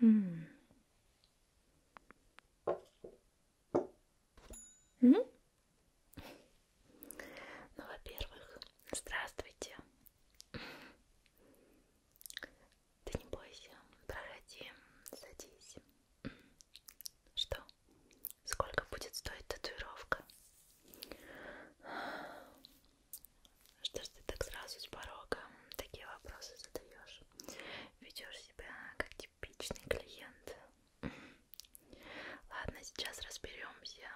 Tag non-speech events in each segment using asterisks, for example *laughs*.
Хм. Ну, во-первых, здравствуйте. Ты не бойся, проходи, садись. Что? Сколько будет стоить татуировка? Что ж ты так сразу с порога такие вопросы задаешь? Ведешь себя как типичный клиент. Ладно, сейчас разберемся.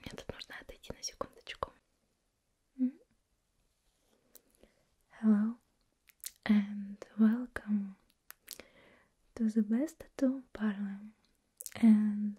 Мне тут нужно отойти на секундочку. Hello and welcome to the best tattoo parlor and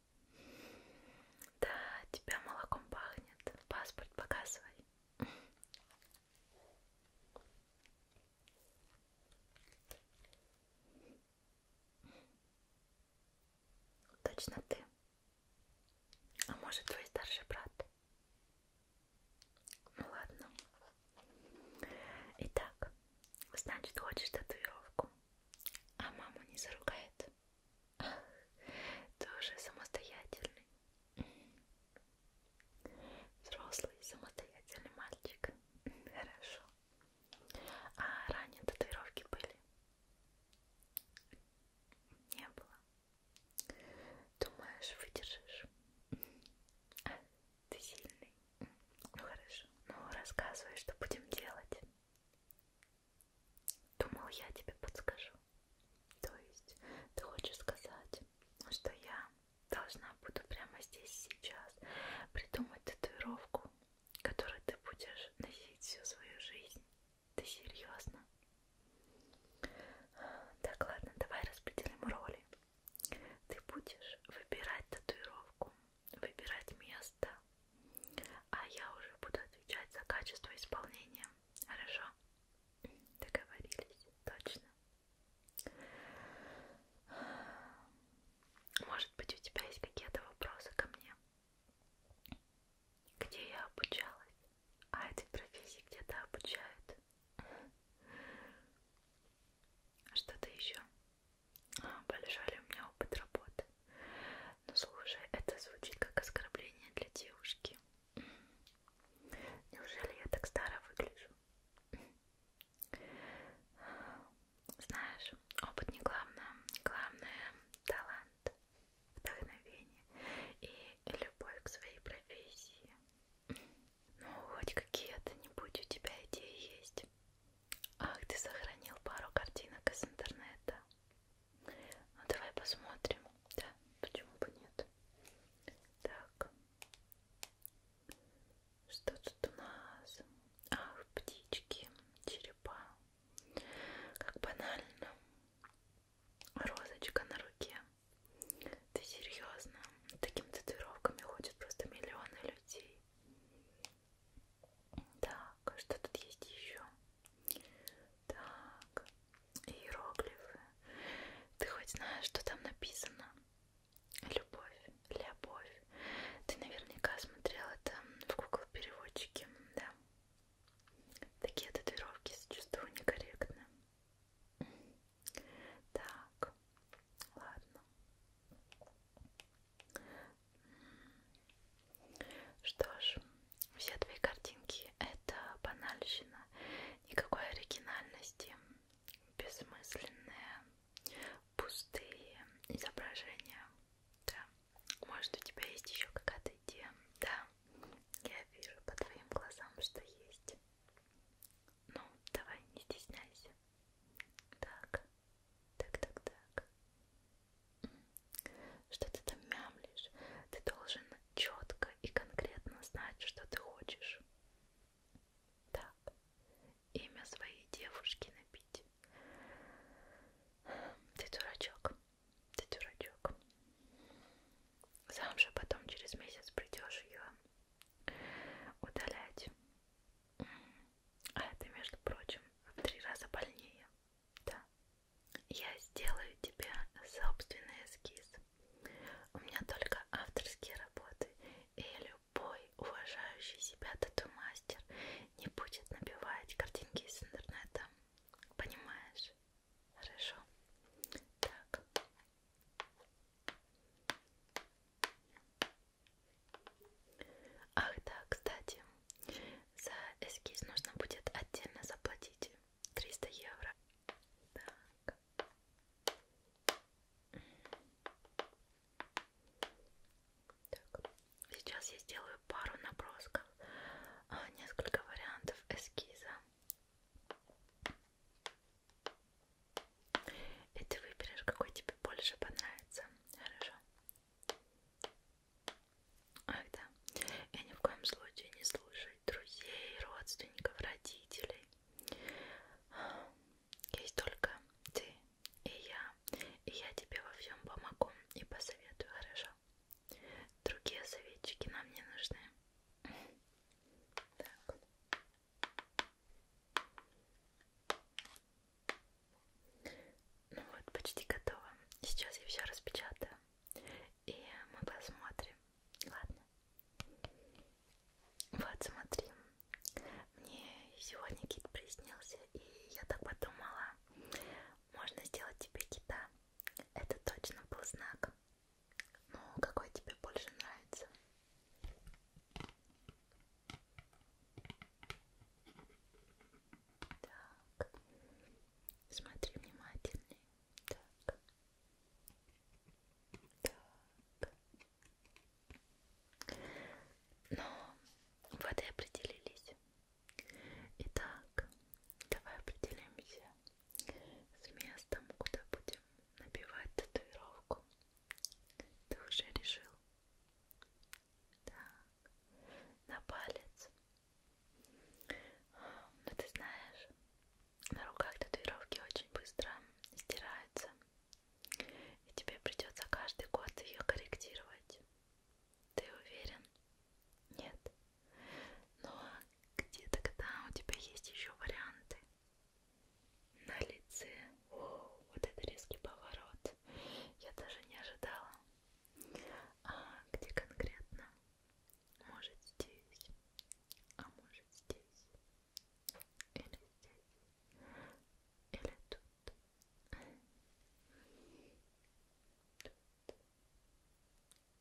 Да, тебя молоком пахнет. Паспорт показывай. Точно ты. А может твой старший брат? Ну ладно. Итак, значит, хочешь татуировку? А мама не заругает? Ах, ты уже самостоятельный. Взрослый, самостоятельный мальчик. *laughs* Хорошо. А ранее татуировки были? Не было. Думаешь, выдержишь? *laughs* Ты сильный. Ну хорошо, ну рассказывай, что будем делать. Думал, я тебе подскажу. То есть ты хочешь сказать, что я должна буду прямо здесь сейчас придумать татуировку, которую ты будешь носить всю свою жизнь. Ты серьезно? Так, ладно, давай распределим роли. Ты будешь выбирать татуировку, выбирать место, а я уже буду отвечать за качество исполнения. Хорошо? Договорились, точно. Может быть, у тебя есть какие-то вопросы ко мне? Где я обучалась? А эти профессии где-то обучают? Что-то еще? Большой у меня опыт работы. Ну слушай, это звучит как оскорбление для девушки. Неужели я так старо выгляжу? Знаешь, опыт не главное. Главное талант, вдохновение и любовь к своей профессии. Ну, хоть какие-то, не будь у тебя идеи есть. Ах, ты сохранил пару картинок из интернета. Ну давай посмотрим. Да, почему бы нет? Так. Что тут у нас? Ах, птички, черепа. Как банально. Розочка на руке. Ты серьезно? Таким татуировками ходят просто миллионы людей. Так, что тут есть еще? Так, иероглифы. Ты хоть знаешь, что там написано? Любовь, любовь. Ты наверняка смотрел это в Google переводчике, да? Такие татуировки сочувствую некорректно. Так, ладно. Что ж, все твои картинки это банальщина, никакой оригинальности, бессмысленные, пустые изображения. Да. Может у тебя есть еще какая-то идея? Да. Я вижу по твоим глазам, что есть. Ну, давай, не стесняйся. Так, так, так, так. Что ты там мямлишь? Ты должен четко и конкретно знать, что ты хочешь. Так, имя своей девушки напить. Ты дурачок, ты дурачок. Сам же потом через месяц придешь ее удалять. А это, между прочим, в три раза больнее. Да. Я сделаю тебе собственный эскиз. У меня только авторские работы. И любой уважающий себя тату-мастер не будет набивать картинки из интернета. Понимаешь? Хорошо. Так. Ах да, кстати, за эскиз нужно будет отдельно заплатить 300 евро. Так. Так. Сейчас я сделаю пару набросков, а, несколько вариантов эскиза. И ты выберешь, какой тебе больше понравится. Хорошо. Ах да, и ни в коем случае не слушать друзей, родственников, родителей. Есть только ты и я, и я тебе во всем помогу и посоветую, хорошо? Другие советчики нам не нужны. Так. Ну вот, почти готово. Сейчас я все распечатаю. И мы посмотрим. Ладно. Вот, смотри. Мне сегодня кит приснился, и я так подумала, можно сделать тебе кита. Это точно был знак. Ну, какой тебе больше нравится? Так. Смотри внимательнее. Так. Так. Ну, вот и определились. Итак, давай определимся с местом, куда будем набивать татуировку. Ты уже решил? Так, на палец. Ну ты знаешь, на руках татуировки очень быстро стираются. И тебе придется каждый год ее корректировать. Ты уверен? Нет. Но ну, а где-то когда у тебя есть еще варианты. На лице. О, вот это резкий поворот. Я даже не ожидала. А где конкретно? Может здесь, а может здесь, или здесь, или тут.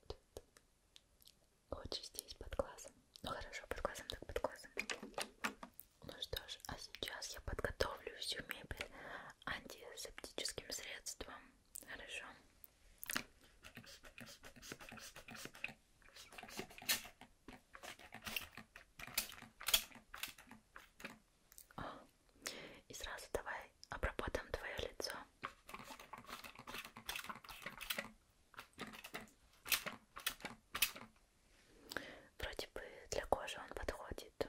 Тут. Тут. Хочешь здесь под глазом? Ну хорошо, под глазом, так под глазом. Ну что ж, а сейчас я подготовлю всю мебель антисептическим средством. Хорошо. О, и сразу давай обработаем твое лицо. Вроде бы для кожи он подходит.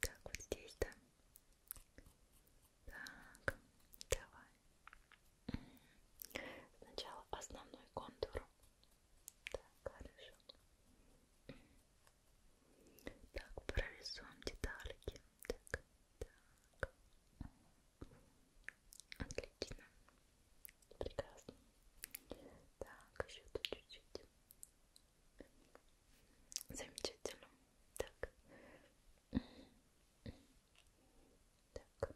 Так, вот здесь, да? Так, давай. Сначала основной контур. Так, хорошо. Так, прорисуем детальки. Так, так. Отлично. Прекрасно. Так, еще тут чуть-чуть. Замечательно. Так. Так.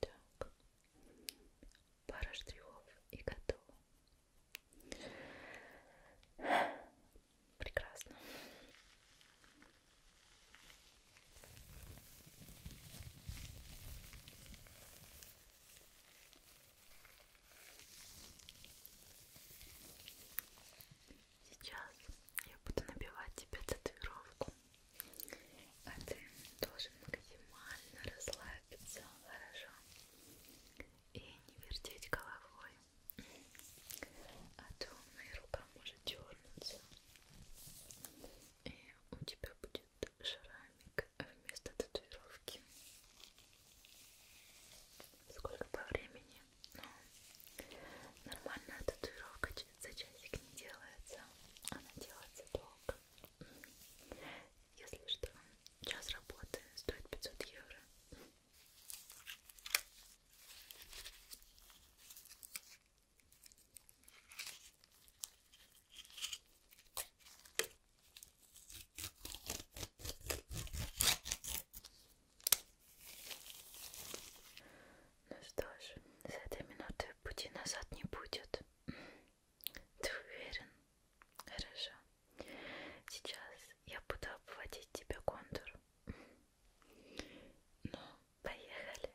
Так. Пара штрихов и готово. Прекрасно. Сейчас я буду набивать тебе татуировку, а ты должен максимально расслабиться, хорошо? И не вертеть головой, а то моя рука может дернуться, и у тебя будет будет шрамик вместо татуировки. Сколько по времени? Ну, нормальная татуировка за часик не делается. Она делается долго. Если что, час работы стоит 500 евро. Ну что ж, с этой минуты пути назад не будет. *clears throat* Ты уверен? Хорошо. Сейчас я буду обводить тебе контур. *clears throat* Ну, поехали.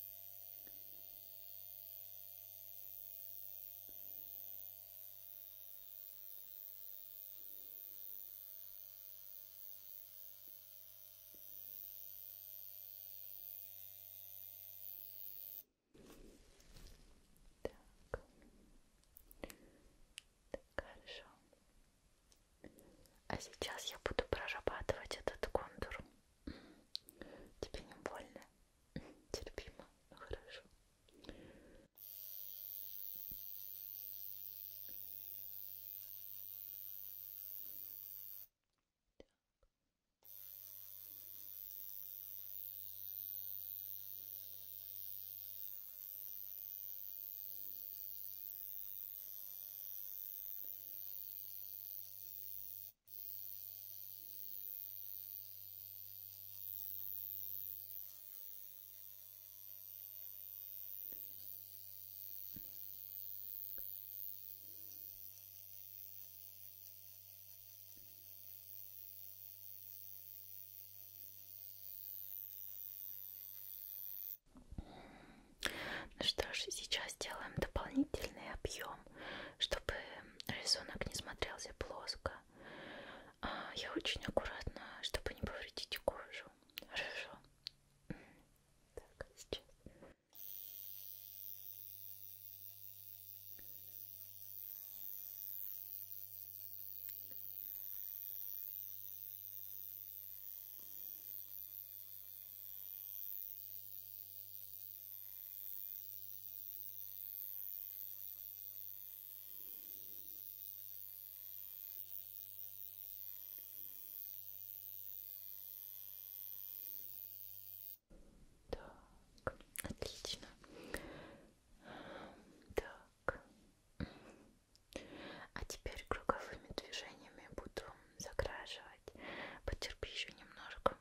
Так. так, хорошо. А сейчас я буду прорабатывать этот контур. Тебе не больно? *laughs* Терпимо, ну хорошо. Так. Ну что ж, сейчас делаем дополнительный объем днем, чтобы рисунок не смотрелся плоско. А я очень аккуратно, чтобы не повредить кожу. Хорошо. Так, сейчас. Так, отлично. Так. А теперь круговыми движениями буду закрашивать. Потерпи еще немножко.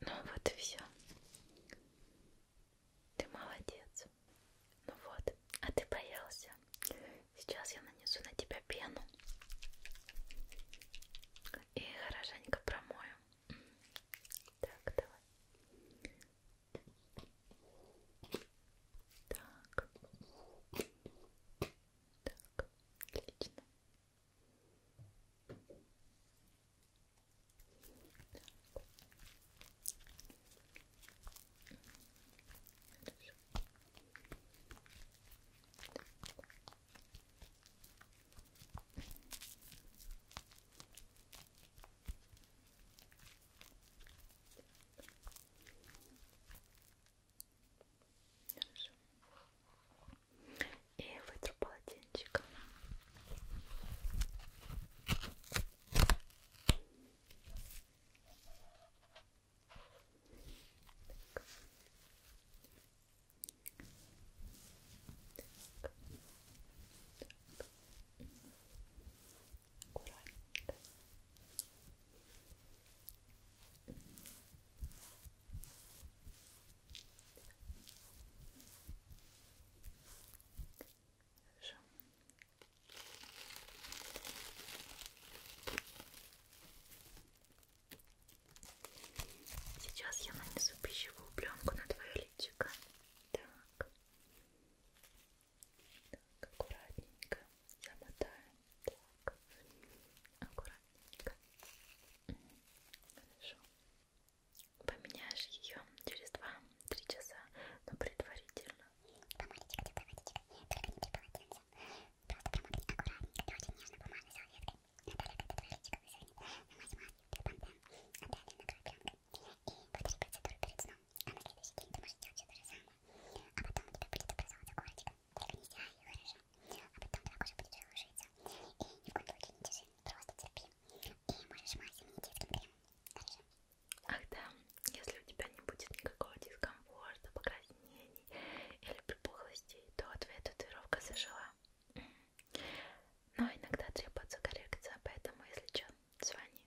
Ну вот и все. Ты молодец. Ну вот, а ты боялся. Сейчас я нанесу на тебя пену и хорошенько промою. Так, давай. Так. Так, отлично. Так. Хорошо. Так. Хорошо. И вытру полотенчиком. Так. Так. Так аккуратненько. Хорошо. Сейчас я нанесу пищевую пленку на твое личико. Так. Так, аккуратненько замотаем. Так, аккуратненько. Хорошо. Поменяешь ее через 2-3 часа, но предварительно. Помадочка, да, помадочка. Только не полотенце. Просто прям аккуратненько, да, очень нежно бумажной салфеткой. Наталья, когда твоя личико высохнет, намазь маслом, бам-бам. А далее накрой пленкой. И повтори процедуру перед сном. А на следующий день ты можешь делать все то же самое а потом у тебя будет образоваться корочка, только не стирай ее хорошо, а потом твоя кожа будет шелушиться, и ни в коем случае не держи, просто терпи, и можешь мазь заменить детским кремом, хорошо? Ах да, если у тебя не будет никакого дискомфорта, покраснений или припухлостей, то твоя татуировка зажила. Но иногда требуется коррекция, поэтому, если что, звони.